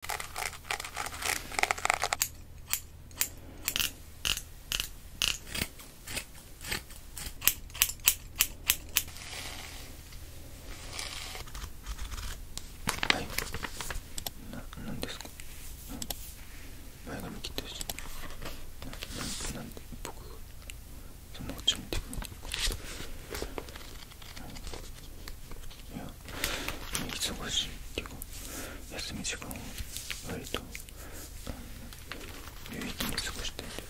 はいなんですか前髪切ったしななんで僕がそんなこっち見てくるのかいや忙しいっていうか休み時間を割とあの、有意義に過ごしていて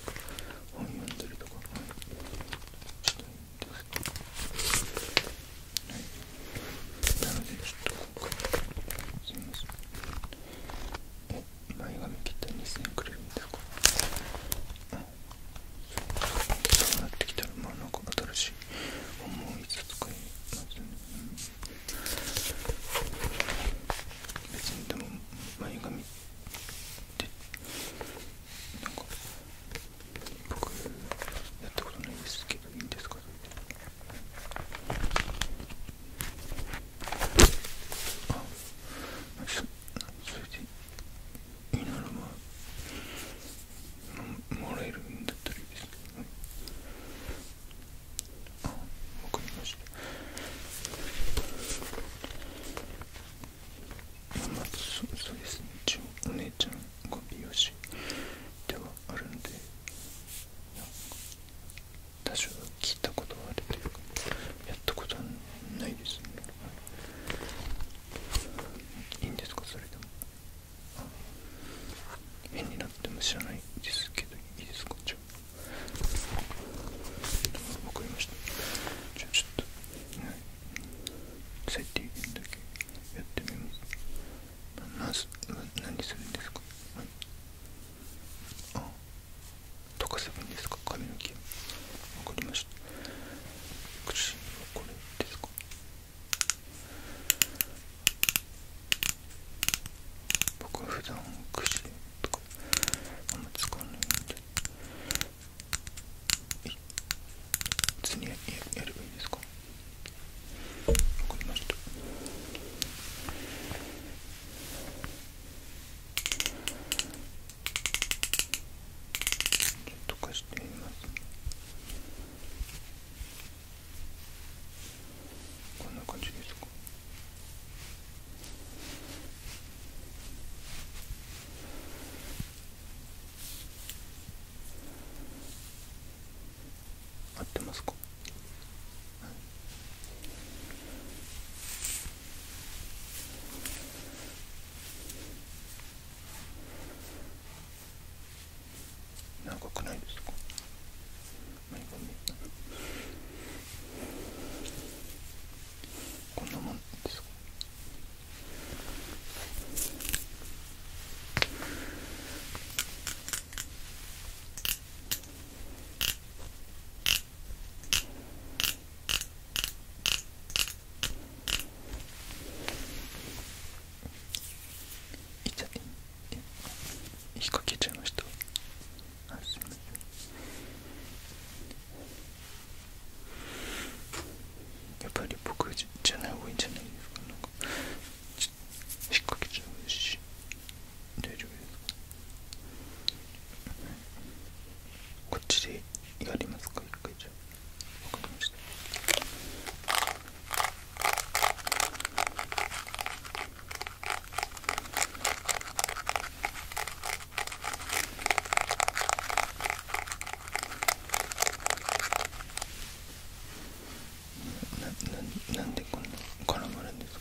本読んだりとかしたいんですけど、はい、なのでちょっと今回すみません前髪切ったら2000円くれるんですかそうなってきたらまあなんか新しい思いつつかますね、うん、別にでも前髪ってなか僕やったことないですけどいいんですかあそそれでいいならまもらえるんだったらいいですけどねあわかりましたまあそそうですね一応お姉ちゃんが美容師ではあるんでか。多少聞いたことはあるというかやったことはないですねいいんですかそれでも変になっても知らないですけどいいですかじゃあわかりましたじゃあちょっと最低限だけやってみますまず何するんですか、はい、あ溶かせばいいんですか髪の毛わかりました苦口はこれですか僕は普段串とかあんま使わないんで普通にややればいいですかわかりましたちょっと貸してみます、ねこんな感じですか合ってますか、長くないですかこんなもんです痛い引っ掛けちゃいましたすいませんやっぱり僕じゃない方がいいんじゃないですかなんか引っ掛けちゃうし大丈夫ですかこっちでやりますか引っ掛けちゃう。わかりましたなななんでこんな絡まるんですか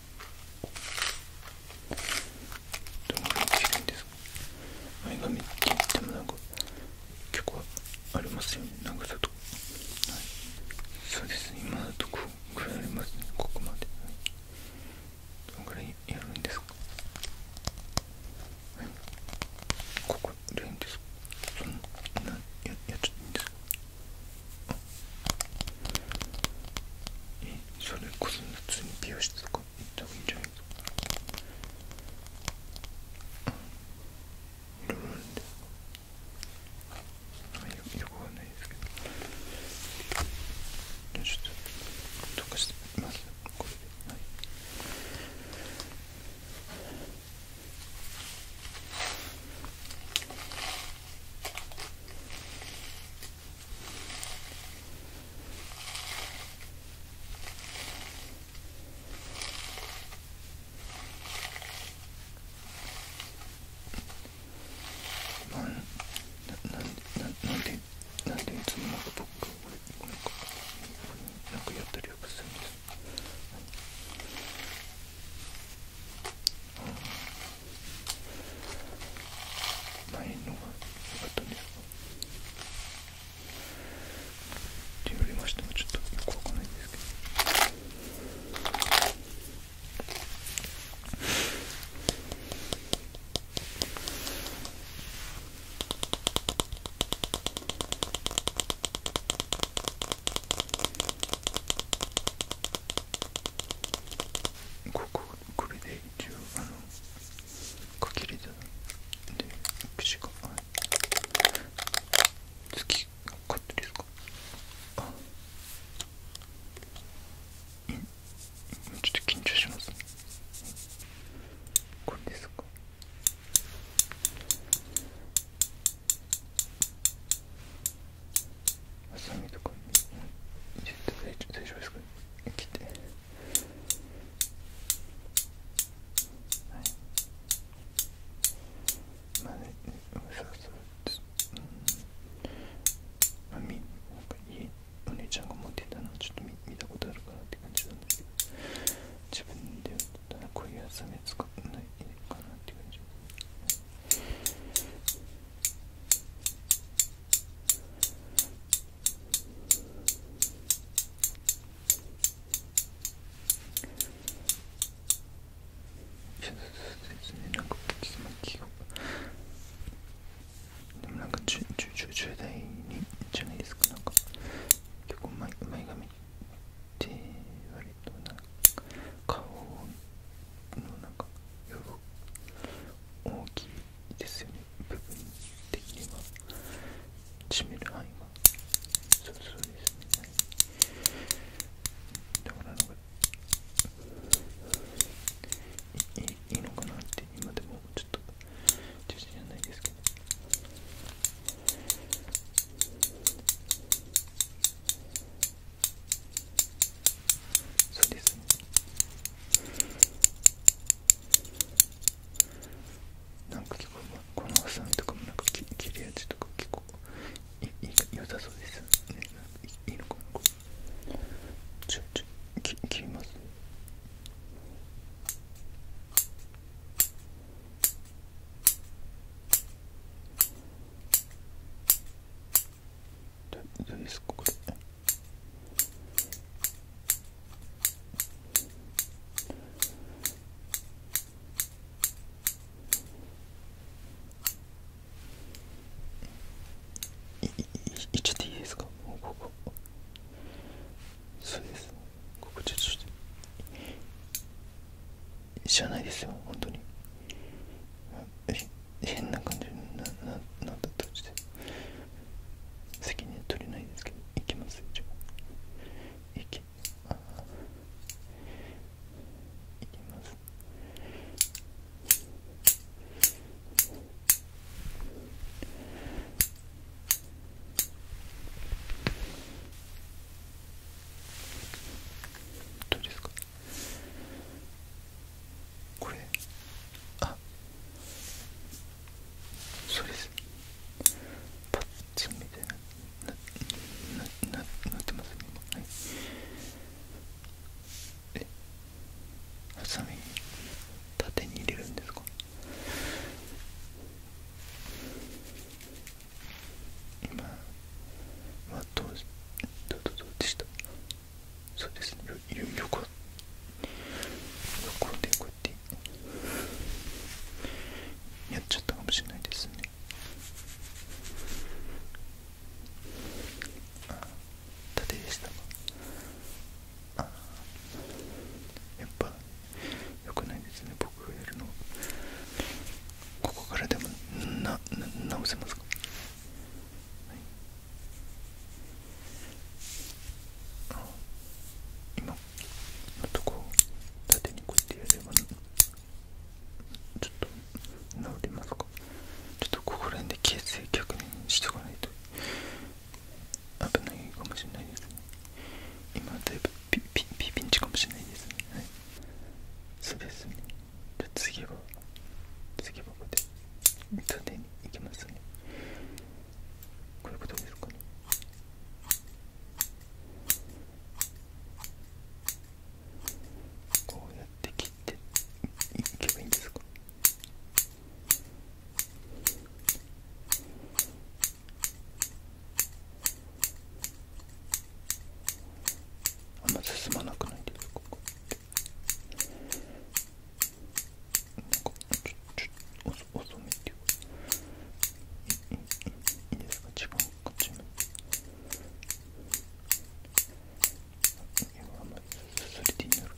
どのくらい近いんですか前髪って言ってもなんか結構ありますよね長さとか、はい、そうですね今だとこうくらいますねここまで、どんぐらいやるんですかはいここでいいんですかそんなややっちゃっていいんですかえー、それこそ普通に美容室とか行った方がいいんじゃないですかルルンでよくわかんないですけどちょっと溶かしてみますこれではいなんでなんでいつもなんか僕なんかなんかやったりはするんですあないのが良かったんでって言われましてもちょっとよくわかんないんですけどこここれで一応あの書き入れで口がはい月がカットですかあちょっと緊張しますこれですかハサとかちょっと大丈ですか切ってはいまあねそうそううんまあみなんか家お姉ちゃんが持ってたのちょっと見見たことあるかなって感じなんですけど自分でこういうハサミ使わないかなって感じですねなんかちまきでもなんか10代にじゃないですかなんか結構前前髪って割となんか顔のなんか予大きいですよね部分的には占める範囲はそうそうですね、はい、だからなんかいいいいのかなって今でもちょっと自信じゃないですけどそうですねなんか結構このハサミとかもなんか切切るやとか結構いい良さそうですねいいのかなちょちょき切ります何ですかこれいいっちゃっていいですかもうここそうですここちょっと知らないですよ本当にうん。変な感じにななったとして責任取れないですけどいきます一応いきあいきますどうですかこれあそうですパッチンみたいななななってますね今はいえハサミ縦に入れるんですか今はどうどうどうでしたそうですねよよ横横でこうやってやっちゃったかもしれないですねあ縦でしたあやっぱよくないですね僕がやるのここからでもな直せますか、はあとこう縦にこうやってやればちょっと直りますかちょっとここら辺で形成逆にしとかないと危ないかもしれないです今だいぶピピピピンチかもしれないですねそうですねじゃ次は次はここで縦に行きますねこういうことですかねこうやって切っていけばいいんですかあんま進まなくないですここちょちょ遅めっていうかいいいいですか違うこっちもあんまりそれでいいんだろう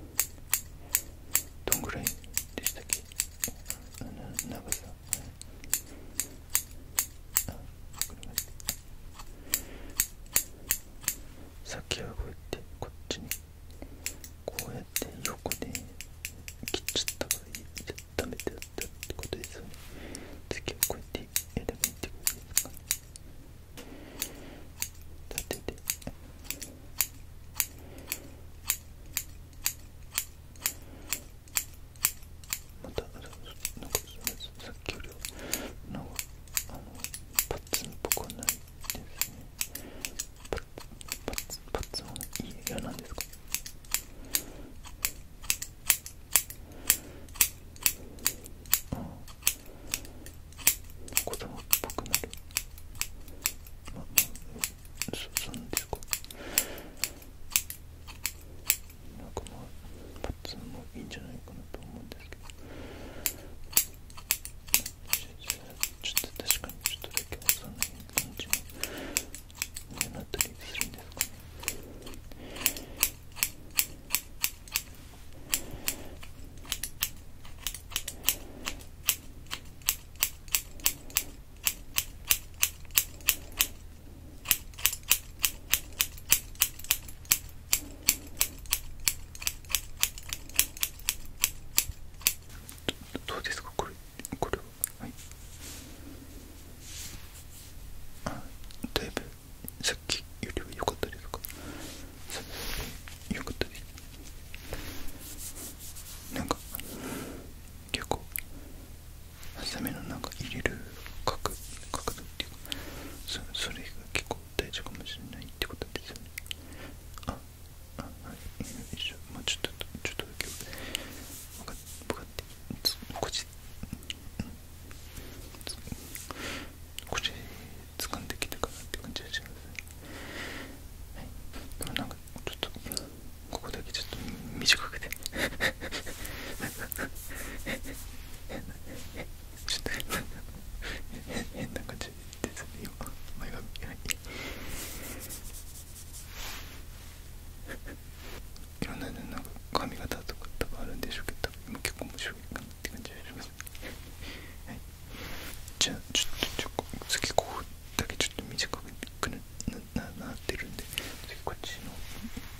あどんぐらいでしたっけ長さあわかりまさっきはこうやってこっちにこうやって横で切っちゃった方がいい。じゃダメだったってことですよね次はこうやってやればいいってことですか立ててまたあなんかさっきよりはなんかあのパッツンっぽくはないですねパッパツンパッツンはいい嫌なんですかああ子供っぽくなるまあまあ、そうなんですかなんかまあパッツンもいいんじゃないかなと思うんですけどちょっと確かにちょっとだけ幼い感じになったりするんですかねまどどうですかこれこれははいあだいぶさっきよりは良かったですかさっきより良かったですなんか結構浅めのなんか入れる角角度っていうかそそれが結構大事かもしれないってことですよねああはいよいしょ、まあちょっとちょっとだけ分かって分かってこっちこっち掴んできたかなって感じがします、はい、でなんかちょっとここだけちょっと短くてちょっと変な感じですね今前髪いろんななんか髪型とか多分あるんでしょうけど多分今結構面白いかなって感じがしますいじゃあちょっとちょ次ここだけちょっと短くなななってるんで次こっちの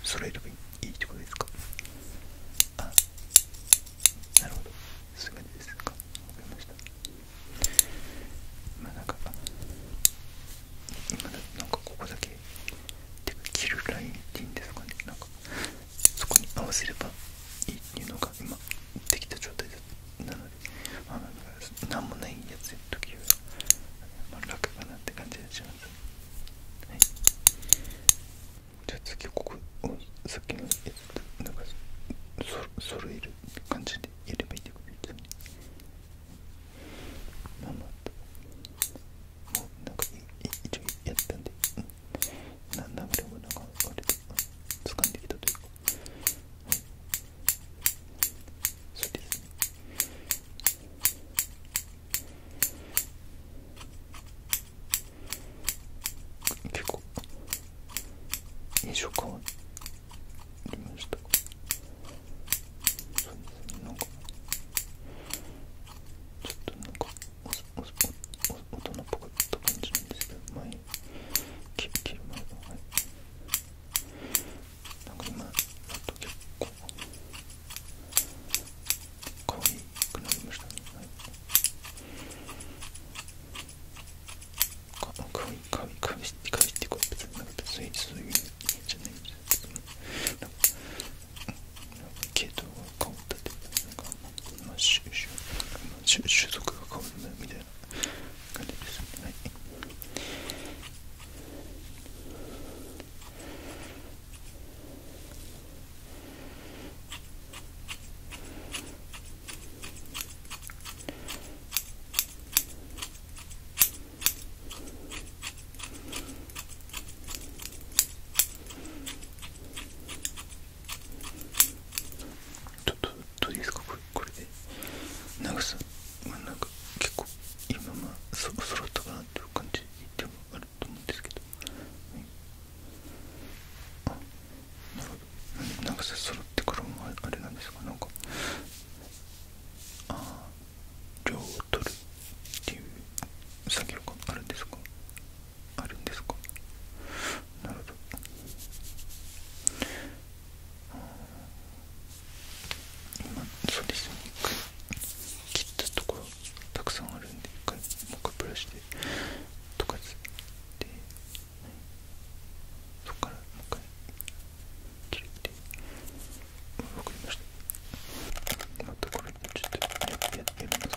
揃えればいいってことですかあなるほどそういう感じですかわかりましたまあなんか今だなんかここだけてか切るラインっていいんですかねなんかそこに合わせればいいっていうのが今できた状態なのであの何もないやつの時は、まあ、楽かなって感じがします、じゃあ次ここをさっきのやつなんかそ揃える感じでやればいいってことですよねまあまあもうなんか一応やったんで、うん、なんだこれもなんか割と、つかんできたというか、そうですね結構印象変わりましたそうですねなんかちょっとなんか大人っぽかった感じなんですけど前に切りまりまはいなんか今あ、っと結構か可い、くなりましたねはいか可愛いかわいい、かわいい、かわいいってこう別になんか別いそういかわいいゃないわいいけどなんか系統がかわいいっていうか集、とかが変わるみたいな感じですね、はい、ちょっとどうですかこれこれで長さまあなんか結構今まあそ揃ったかなっていう感じでもあると思うんですけど、はい、なるほど長さ揃ってからもあれなんですかなんかああ量を取るっていう作業があるんですかあるんですかなるほど今そうですね一回切ったところたくさんあるんで一回もう一回ブラシで溶かすでそっからもう一回切ってわかりましたまとこれちょっとやってみます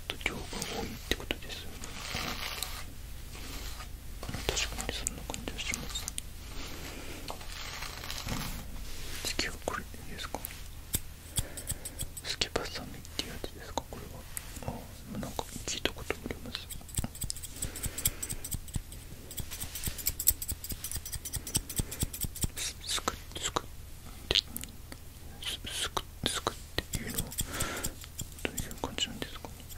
ちょが多いってことですよ確かにそんな感じはします次はこれいいですかスケバサミっていうやつですかこれはあなんか聞いたことありますすくすくってすすくすくっていうのはどういう感じなんですかね、はいはい、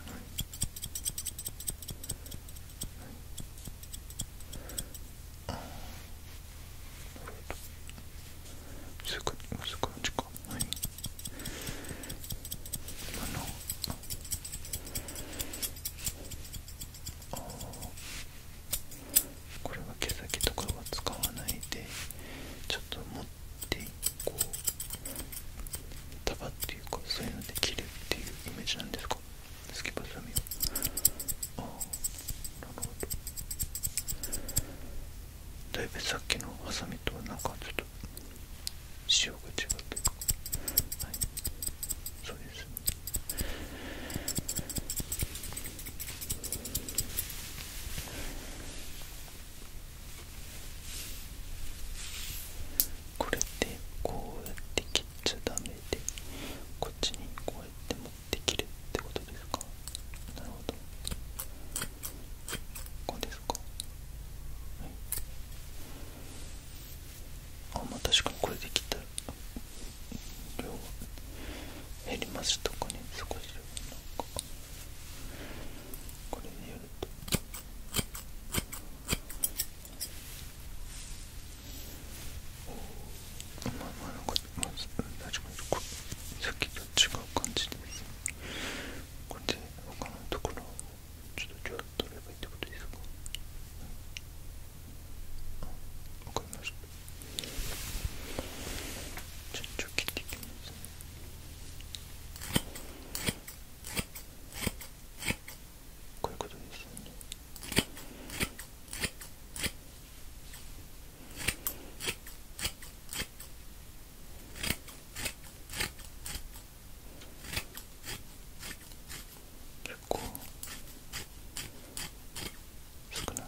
あなるほどすくすく感じかはい今のああこれは毛先とかは使わないでちょっと持ってこう束っていうかそういうので切るっていうイメージなんですかすきばさみをああなるほどだいぶさっきのハさみとはなんかちょっと仕が違うというかはいそうですこれで、こうやって切っちゃダメでこっちにこうやって持って切るってことですかなるほどこうですかはいあまあ確かにこれで切ったら減りますとかね少しなんかこれでやるとおまあまあなんかまず大丈夫こさっきと違う感じでこれで他のところをちょっとじゃあ取ればいいってことですかわかりましたちょちょ切っていきますね。こういうことですよね結構少ない。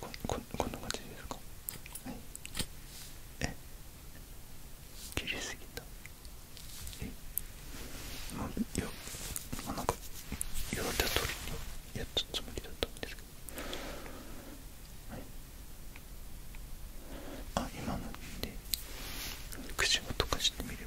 こここんな感じですかはいえ切りすぎたえまあいやまあなんか言われた通りにやったつもりだったんですけどはいあ今ので口を溶かしてみれば。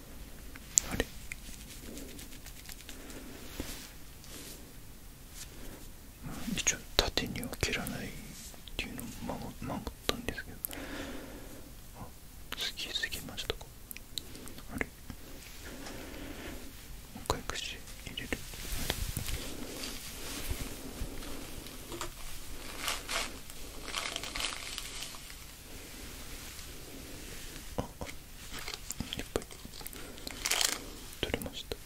あれ一応縦には切らないっていうのを守ったんですけどあ次次、ぎましたかあれもう一回く口入れるああっいっぱり。取れました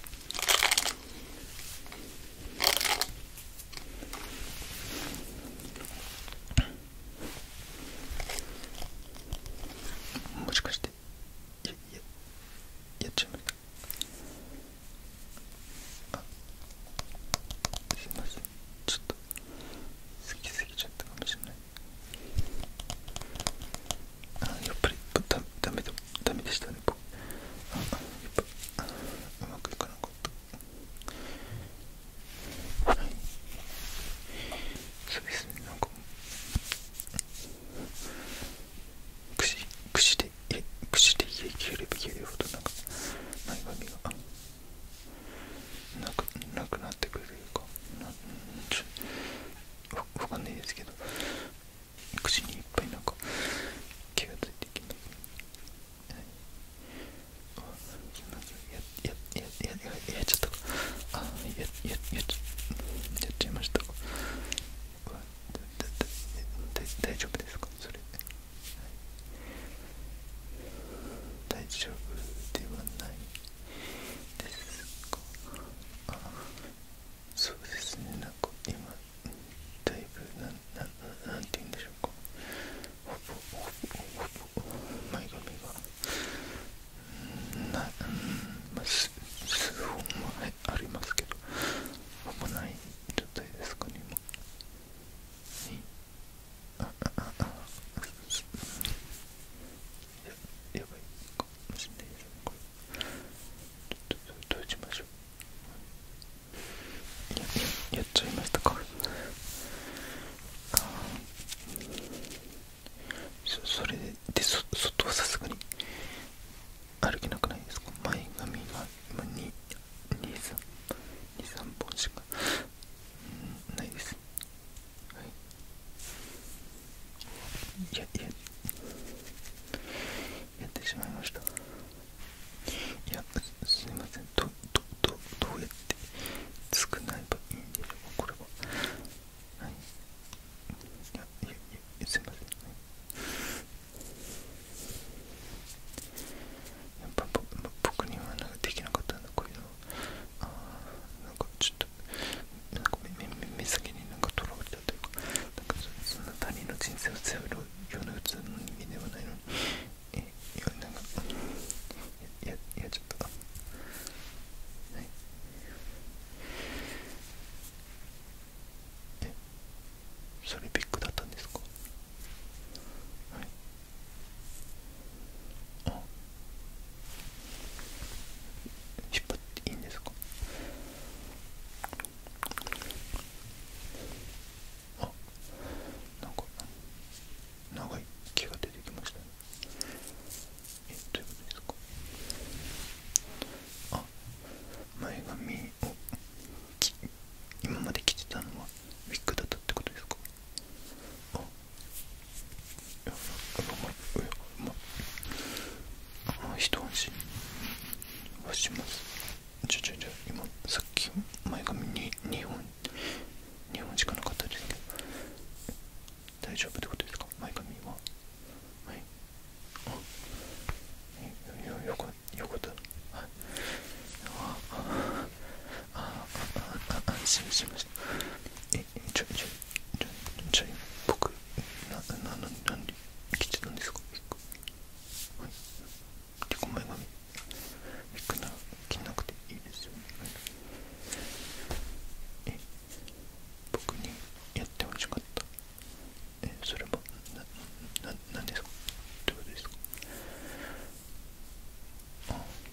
もしかしてややっちゃう。ましたあすいませんちょっと好きすぎちゃったかもしれないあやっぱりだダメだダメでしたね僕あやっぱうまくいかなかったはいそうですねなんかくしでくしで家切れば切るほどなんか前髪がなくなくなってくれるかなちょわわかんないですけど口にいっぱいなんか気がついてきなく、はい、ややややややっちゃったかあややややっちゃいましたか大丈夫ですかそれ、はい、大丈夫ではないですかあそうですねなんか今だいぶ何て言うんでしょうかほぼほぼほぼ前髪がなまあ数本もありますけどほぼない状態ですかね今。ああややばいかもしれないですちょっとどうしましょうやややっちゃいましたかあそそれででそ外はさすがに歩けなくないですか前髪が今223本しかないですはいいやいややってしまいましたいやすいませんどどどどうやって少ないばいいんでしうこれははいいやいやいやすいません、はいやっぱ僕にはなんかできなかったんだこういうのああなんかちょっとなんか目目先になんかとらわれたというかなんかそんな他人の人生を背負うような普通の人間ではないのにえいやなんかいやいやっちゃったはいえそれビッグだったんですかはいあ。引っ張っていいんですかあなんか長い毛が出てきましたねえどういうことですかあ前髪を今まで着てたのはウィッグだったってことですかあ。あ、一安心はしますじゃ、ちょちょ今さっき前髪に2本2本しかなかったですけど大丈夫ってことですか前髪ははいあよよよよかったはいあああ安心しません。えちょいちょいちょいちょい僕ななななんで生きてたんですかはいでこ前髪行くなら着なくていいですよ、はい、え僕にやってほしかったえそれもななんですかどういうことですか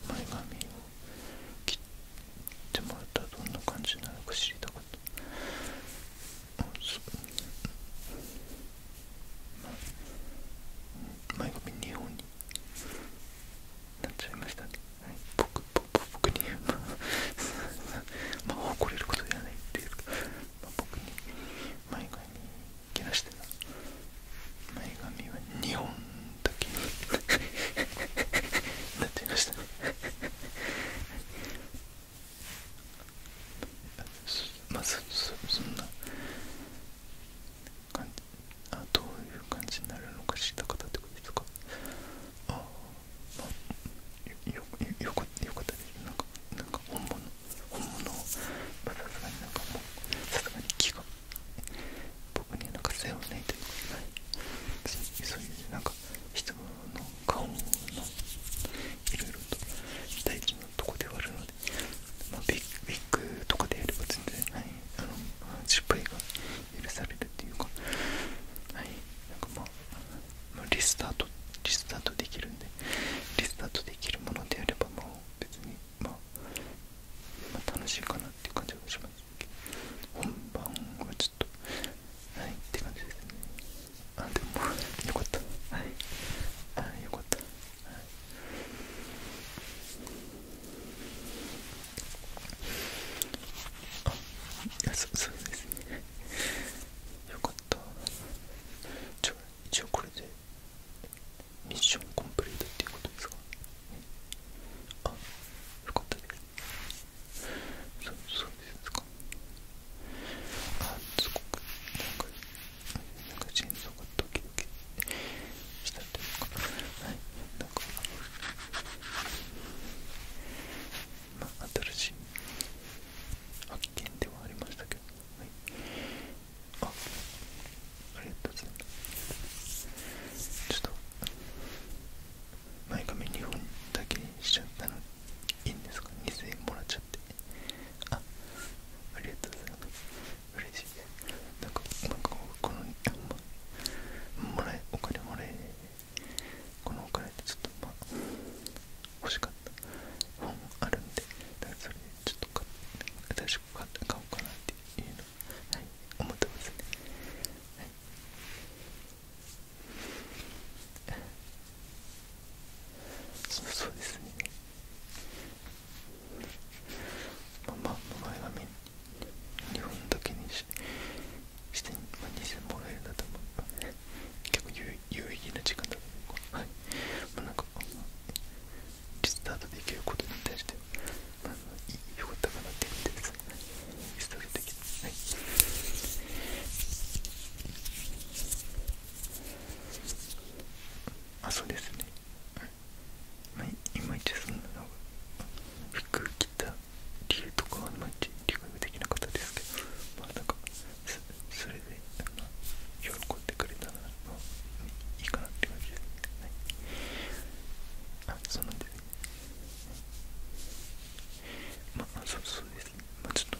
前髪を切ってもらったらどんな感じなのか知りたかったあそう、前髪2本になっちゃいましたね、はい、僕僕僕にまあまあ怒れることじゃないっていうか、まあ、僕に前髪気がして前髪は2本だけ なっていましたねまあそそそんなあどういう感じになるのか知った方ってことですかああよよよかよかったですなんかなんか本物本物はなんかもうさすがに気が僕にはなんかさ負わないというか。そういうなんか質の顔のいろいろと大事なとこではあるので、まあ、ビッグとかでやれば全然、はい、あの失敗が許されるっていうか、はい、なんかまリスタートリスタートできるんでリスタートできるものであればもう別にまあ、まあ、楽しいかなっていう感じがします本番はちょっとはいって感じですねあでもよかったはいあよかったはいあいやそそうですねよかったじゃあ一応これでミッションコンプリートっていうことですかあよかったね。すそそうですかあすごくなんかなんか心臓がドキドキしたというかはいなんかまあ新しい発見ではありましたけどはい、あありがとうございますちょっと前髪2本だけにしちゃったのいいんですか2000円もらっちゃってあありがとうございます嬉しいですなんかなんかこのもらえお金もらえこのお金っちょっとまあ欲しかった本あるんでだそれでちょっととか新買おうかなっていうのはい思ってますねはいそそうですねまあまあ前髪日本だけにしして、まあ、2000もらえるなと思う結構有意義な時間だと思うはいまあなんかリスタートできることに対してまかったかなっていうですスタートできるはいあそうですね、まあ、いまいちそんなの服着た理由とかはまいち理解できなかったですけどまあなんかそそれれで喜んでくれたらいいかなって感じですね。まあ、そうそうですね。まあ、ちょっと、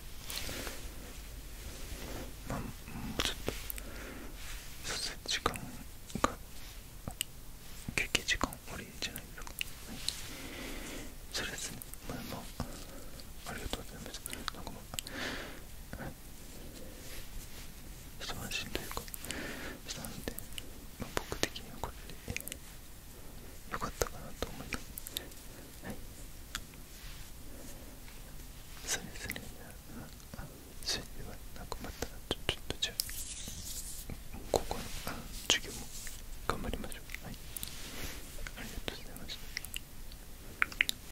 まあ、もうちょっと、そうす時間が、休憩時間終わりじゃないですそれですね。まあ、まあ、ありがとうございます。一安心というかしたので、まあ、僕的にはこれでよかったかなと思いますはいそうですねあそれではなんかまたちょちょっとじゃあここのあ授業も頑張りましょうはいありがとうございました